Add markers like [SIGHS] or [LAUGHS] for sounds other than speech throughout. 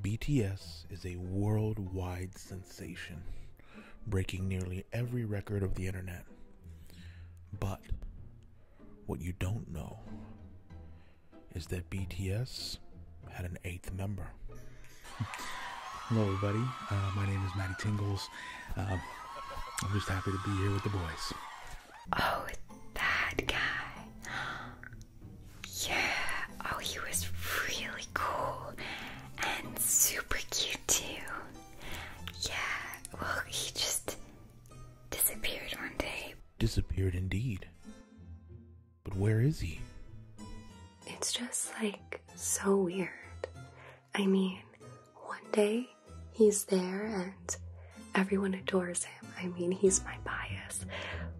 BTS is a worldwide sensation, breaking nearly every record of the internet. But what you don't know is that BTS had an eighth member. [LAUGHS] Hello, everybody. Uh, my name is Matty Tingles. Uh, I'm just happy to be here with the boys. Oh, that guy. Yeah, oh, he was really cool and super cute too. Yeah, well, he just disappeared one day. Disappeared indeed. But where is he? It's just like so weird. I mean, one day he's there and. Everyone adores him. I mean, he's my bias.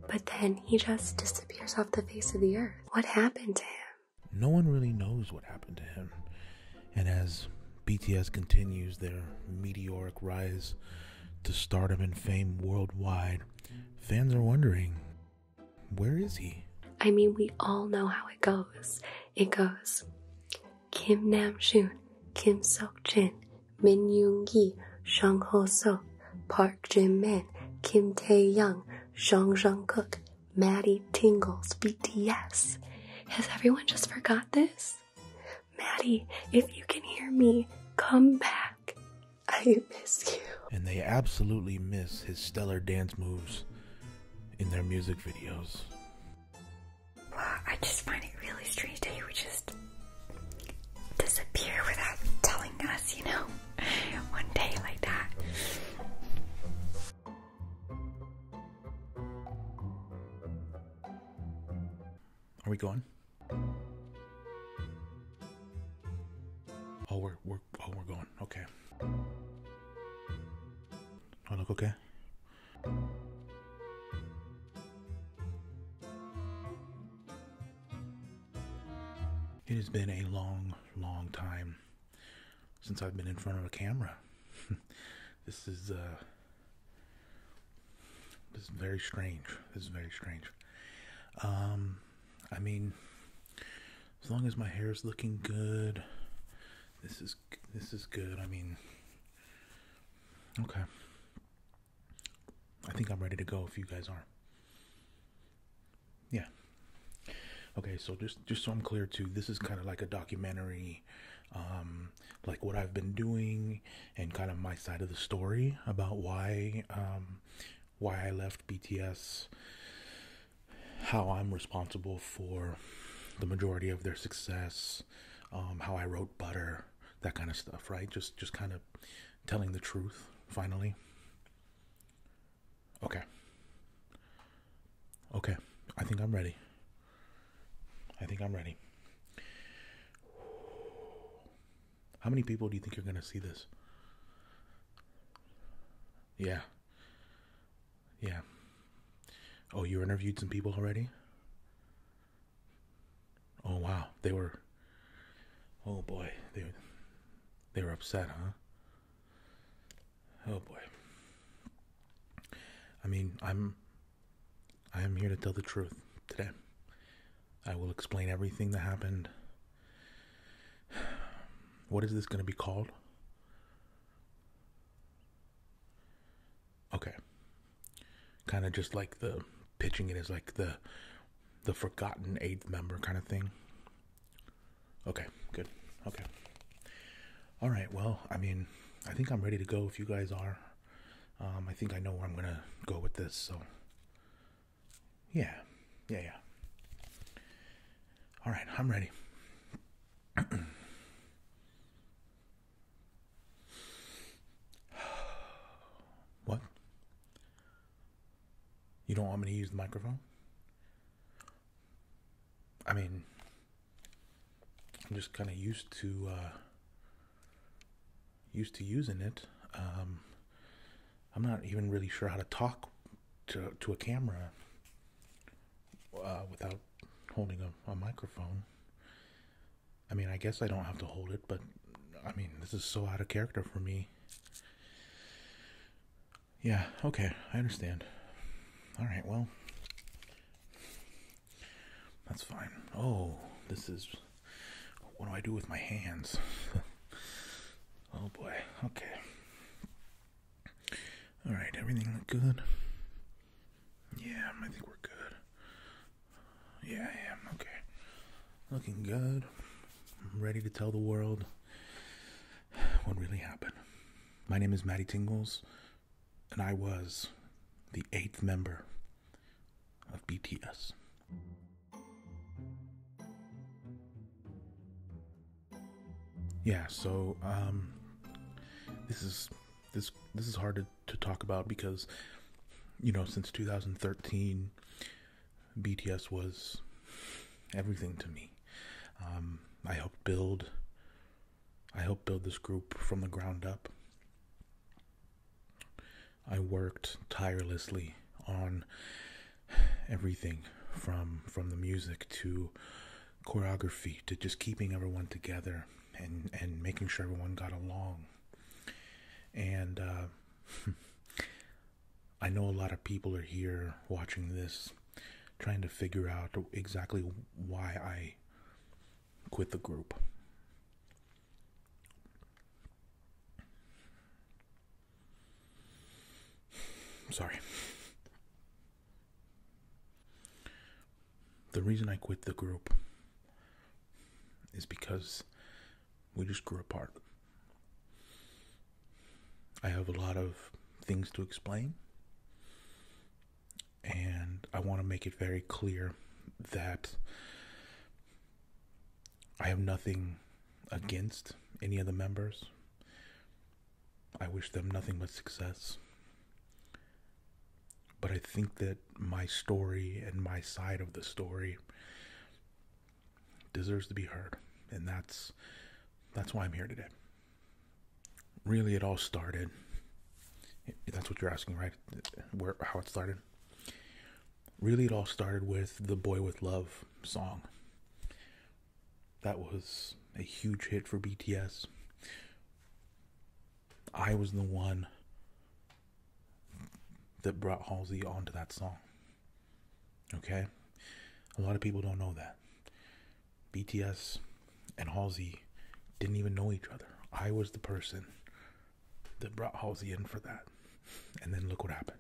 But then he just disappears off the face of the earth. What happened to him? No one really knows what happened to him. And as BTS continues their meteoric rise to stardom and fame worldwide, fans are wondering where is he? I mean, we all know how it goes. It goes Kim Nam Joon, Kim Seok Jin, Min Yoon Gi, Shang Ho Seok, Park Jin Min, Kim Tae Young, Zhang Jung Cook, Maddie Tingles, BTS. Has everyone just forgot this? Maddie, if you can hear me, come back. I miss you. And they absolutely miss his stellar dance moves in their music videos. Well, I just find it really strange that he would just disappear without telling us, you know, [LAUGHS] one day like that. Are we going? Oh, we're oh we're going. Okay. I look okay. It has been a long, long time since I've been in front of a camera. [LAUGHS] this is uh, this is very strange. This is very strange. Um, I mean, as long as my hair is looking good, this is this is good. I mean, okay. I think I'm ready to go if you guys are. Yeah. Okay, so just just so I'm clear too, this is kind of like a documentary, um, like what I've been doing and kind of my side of the story about why um, why I left BTS, how I'm responsible for the majority of their success, um, how I wrote Butter, that kind of stuff, right? Just just kind of telling the truth finally. Okay. Okay. I think I'm ready. I think I'm ready. How many people do you think you are going to see this? Yeah. Yeah. Oh, you interviewed some people already? Oh wow, they were. Oh boy, they they were upset, huh? Oh boy. I mean, I'm I am here to tell the truth today. I will explain everything that happened. [SIGHS] What is this going to be called? Okay. Kind of just like the pitching it as like the the forgotten eighth member kind of thing. Okay, good. Okay. All right. Well, I mean, I think I'm ready to go if you guys are. Um, I think I know where I'm going to go with this, so yeah. Yeah, yeah. All right, I'm ready. [CLEARS THROAT] [SIGHS] What? You don't want me to use the microphone? I mean, I'm just kind of used to uh, used to using it. Um, I'm not even really sure how to talk to to a camera uh, without holding a, a microphone. I mean, I guess I don't have to hold it, but I mean, this is so out of character for me. Yeah, okay, I understand. All right, well, that's fine. Oh, this is. What do I do with my hands? [LAUGHS] oh boy, okay. All right, everything look good. Yeah, I think we're good. Yeah, I am. Okay. Looking good. I'm ready to tell the world what really happened. My name is Matty Tingles, and I was the eighth member of BTS. Yeah, so, um, this is this this is hard to, talk about because you know since 2013 BTS was everything to me. Um, I helped build I helped build this group from the ground up. I worked tirelessly on everything from from the music to choreography to just keeping everyone together and and making sure everyone got along and uh, [LAUGHS] I know a lot of people are here watching this trying to figure out exactly why I quit the group. Sorry the reason I quit the group is because we just grew apart. I have a lot of things to explain, and I want to make it very clear that I have nothing against any of the members. I wish them nothing but success. But I think that my story and my side of the story deserves to be heard. And that's that's why I'm here today. Really it all started that's what you're asking, right? Where how it started? Really it all started with the Boy with Love song. That was a huge hit for BTS. I was the one that brought Halsey onto that song. Okay? A lot of people don't know that. BTS and Halsey didn't even know each other. I was the person that brought Halsey in for that. And then look what happened.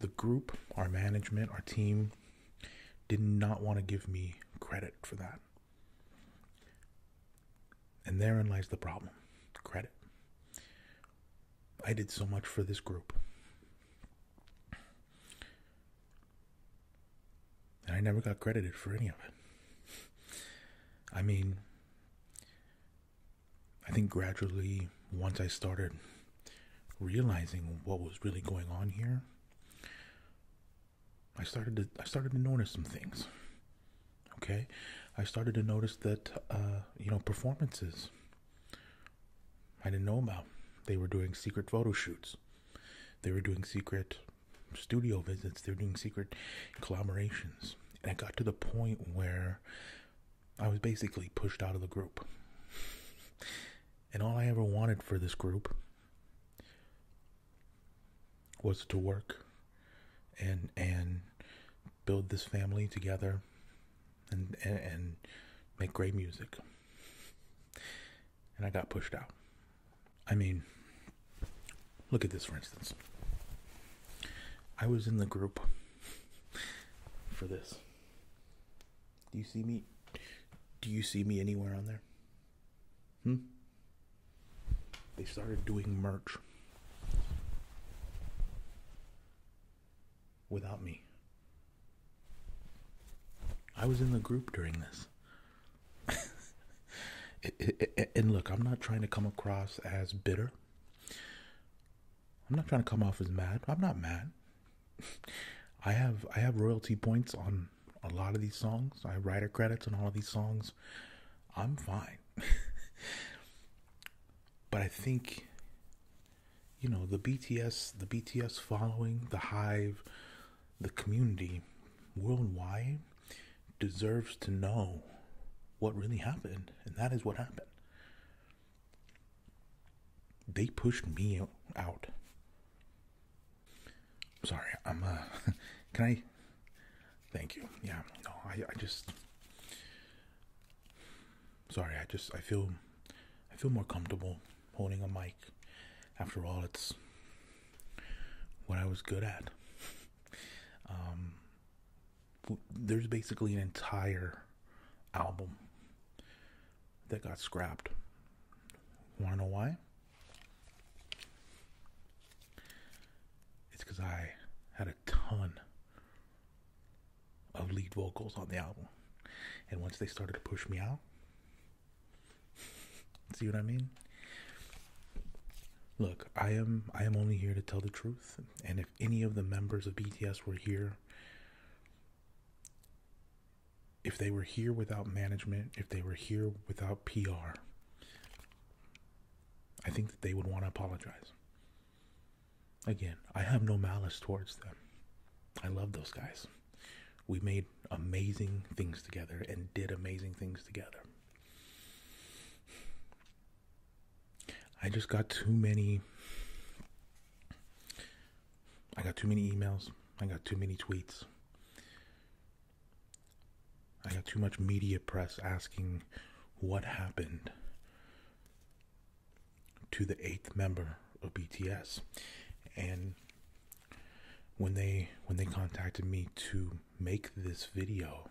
The group, our management, our team did not want to give me credit for that. And therein lies the problem credit. I did so much for this group. And I never got credited for any of it. I mean, I think gradually, once I started realizing what was really going on here, I started to I started to notice some things. Okay, I started to notice that uh, you know performances I didn't know about. They were doing secret photo shoots. They were doing secret studio visits. They were doing secret collaborations. And it got to the point where I was basically pushed out of the group. And all I ever wanted for this group was to work and and build this family together and and, and make great music. And I got pushed out. I mean, look at this for instance. I was in the group for this. Do you see me? Do you see me anywhere on there? Hmm? They started doing merch without me. I was in the group during this. [LAUGHS] and look, I'm not trying to come across as bitter. I'm not trying to come off as mad. I'm not mad. [LAUGHS] I have I have royalty points on a lot of these songs. I write writer credits on all of these songs. I'm fine. [LAUGHS] but I think you know the BTS, the BTS following, the Hive, the community worldwide deserves to know what really happened, and that is what happened. They pushed me out. Sorry, I'm uh [LAUGHS] can I thank you. Yeah, no, I I just sorry, I just I feel I feel more comfortable holding a mic. After all, it's what I was good at. Um there's basically an entire album that got scrapped. Want to know why? It's because I had a ton of lead vocals on the album. And once they started to push me out, [LAUGHS] see what I mean? Look, I am I am only here to tell the truth, and if any of the members of BTS were here, if they were here without management, if they were here without PR, I think that they would want to apologize. Again, I have no malice towards them. I love those guys. We made amazing things together and did amazing things together. I just got too many. I got too many emails. I got too many tweets. I got too much media press asking what happened to the eighth member of BTS. And when they when they contacted me to make this video,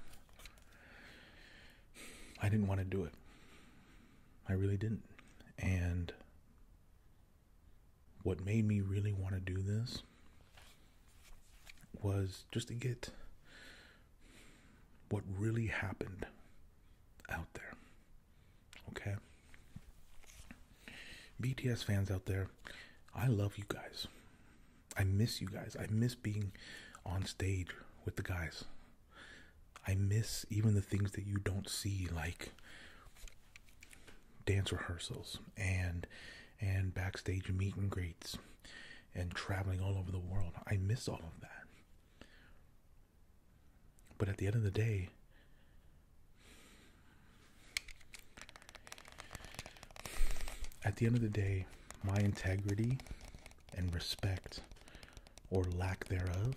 I didn't want to do it. I really didn't. And what made me really want to do this was just to get what really happened out there. Okay? BTS fans out there, I love you guys. I miss you guys. I miss being on stage with the guys. I miss even the things that you don't see, like dance rehearsals and and backstage meet and greets and traveling all over the world. I miss all of that. But at the end of the day, at the end of the day, my integrity and respect or lack thereof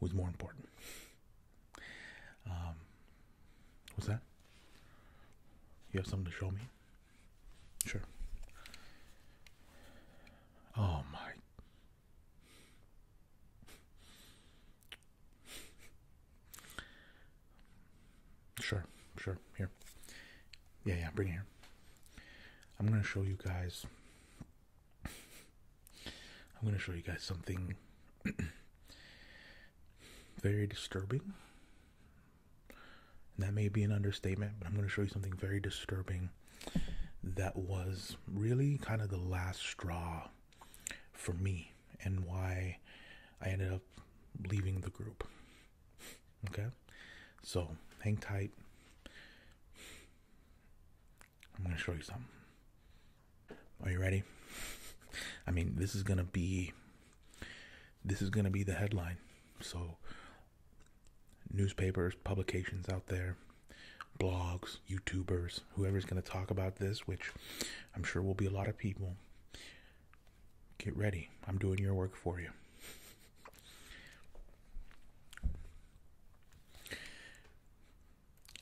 was more important. Um, what's that? You have something to show me? Sure. Oh my. Sure, sure. Here. Yeah, yeah, bring it here. I'm going to show you guys. I'm going to show you guys something [CLEARS THROAT] very disturbing. And that may be an understatement, but I'm going to show you something very disturbing that was really kind of the last straw for me and why I ended up leaving the group. Okay? So, hang tight. I'm going to show you something. Are you ready? I mean, this is going to be this is going to be the headline. So newspapers, publications out there, blogs, YouTubers, whoever's going to talk about this, which I'm sure will be a lot of people. Get ready. I'm doing your work for you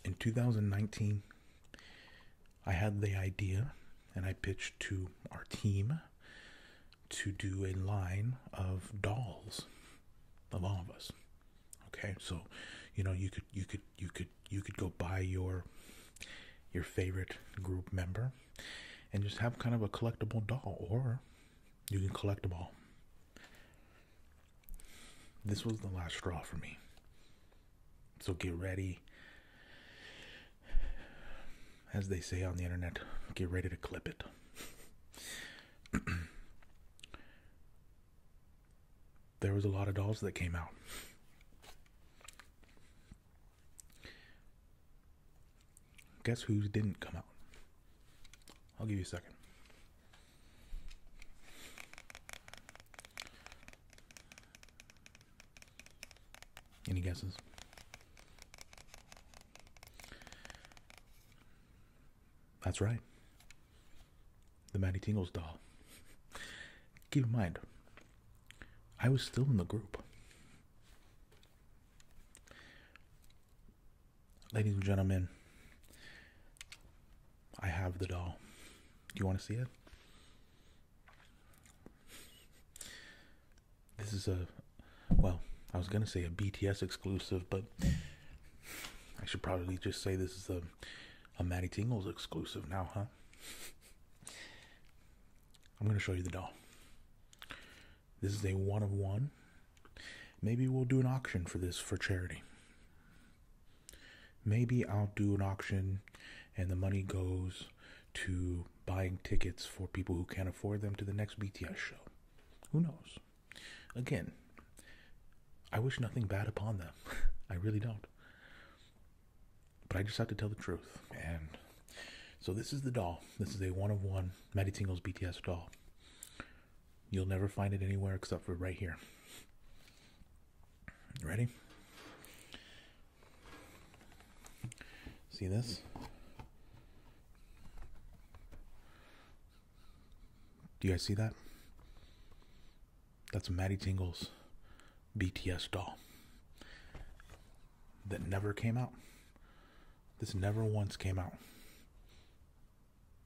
in 2019, I had the idea and I pitched to our team to do a line of dolls of all of us. Okay, so you know you could you could you could you could go buy your your favorite group member and just have kind of a collectible doll or you can collect them all. This was the last straw for me. So get ready. As they say on the internet, get ready to clip it. [CLEARS THROAT] there was a lot of dolls that came out. Guess who didn't come out? I'll give you a second. Any guesses? That's right. The Matty Tingles doll. Keep in mind, I was still in the group. Ladies and gentlemen, I have the doll. Do you want to see it? This is a well, I was gonna say a BTS exclusive, but I should probably just say this is a a Maddie Tingles exclusive now, huh? I'm gonna show you the doll. This is a one of one. Maybe we'll do an auction for this for charity. Maybe I'll do an auction and the money goes to buying tickets for people who can't afford them to the next BTS show. Who knows? Again, I wish nothing bad upon them. [LAUGHS] I really don't. But I just have to tell the truth. And so this is the doll. This is a one of one Maddie Tingle's BTS doll. You'll never find it anywhere except for right here. Ready? See this? Do you guys see that? That's Maddie Tingle's BTS doll that never came out. This never once came out.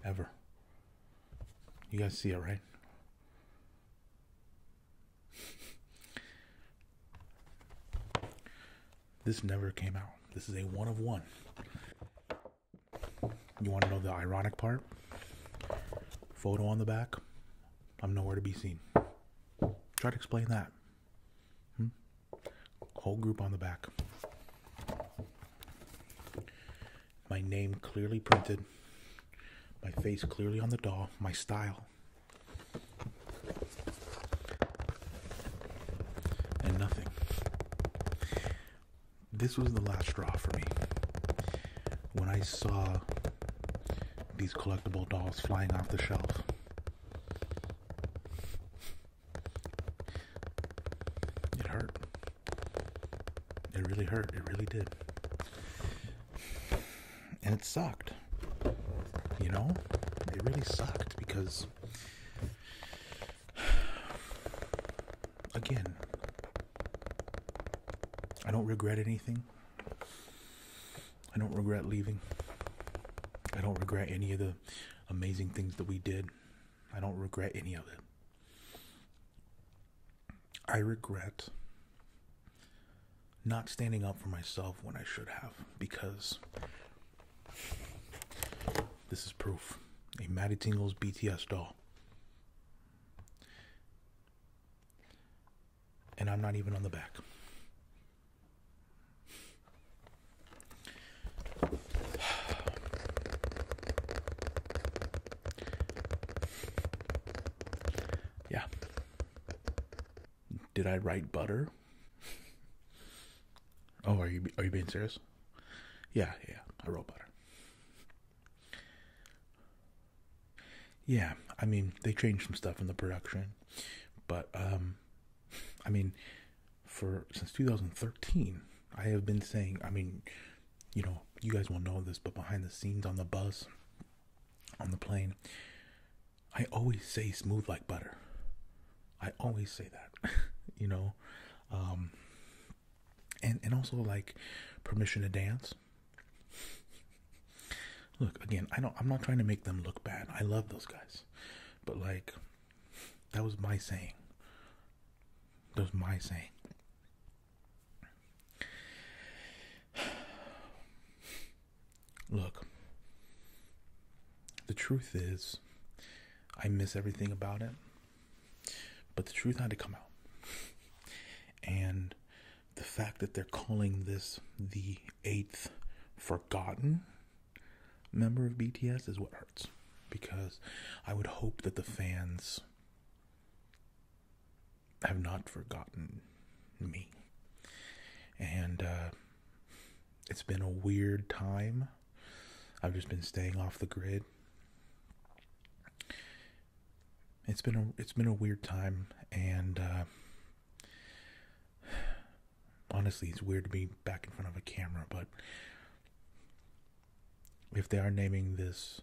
Ever. You guys see it, right? [LAUGHS] this never came out. This is a one of one. You want to know the ironic part? Photo on the back. I'm nowhere to be seen. Try to explain that. Hmm? Whole group on the back my name clearly printed, my face clearly on the doll, my style. And nothing. This was the last straw for me. When I saw these collectible dolls flying off the shelf. It hurt. It really hurt. It really did. And it sucked. You know? It really sucked because, again, I don't regret anything. I don't regret leaving. I don't regret any of the amazing things that we did. I don't regret any of it. I regret not standing up for myself when I should have because this is proof. A Matty Tingles BTS doll. And I'm not even on the back. Yeah. Did I write butter? Oh, are you are you being serious? Yeah, yeah, I wrote butter. Yeah, I mean they changed some stuff in the production, but um, I mean, for since 2013, I have been saying. I mean, you know, you guys won't know this, but behind the scenes on the bus, on the plane, I always say smooth like butter. I always say that, [LAUGHS] you know, um, and and also like permission to dance. look again, I don't. I'm not trying to make them look bad. I love those guys, but like, that was my saying. That was my saying. Look, the truth is, I miss everything about it, but the truth had to come out. And the fact that they're calling this the eighth forgotten member of BTS is what hurts because I would hope that the fans have not forgotten me. And uh, it's been a weird time. I've just been staying off the grid. It's been a it's been a weird time, and uh, honestly, it's weird to be back in front of a camera. But if they are naming this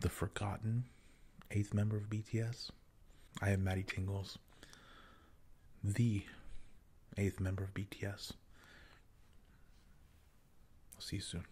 the forgotten eighth member of BTS. I am Maddie Tingles, the eighth member of BTS. I'll see you soon.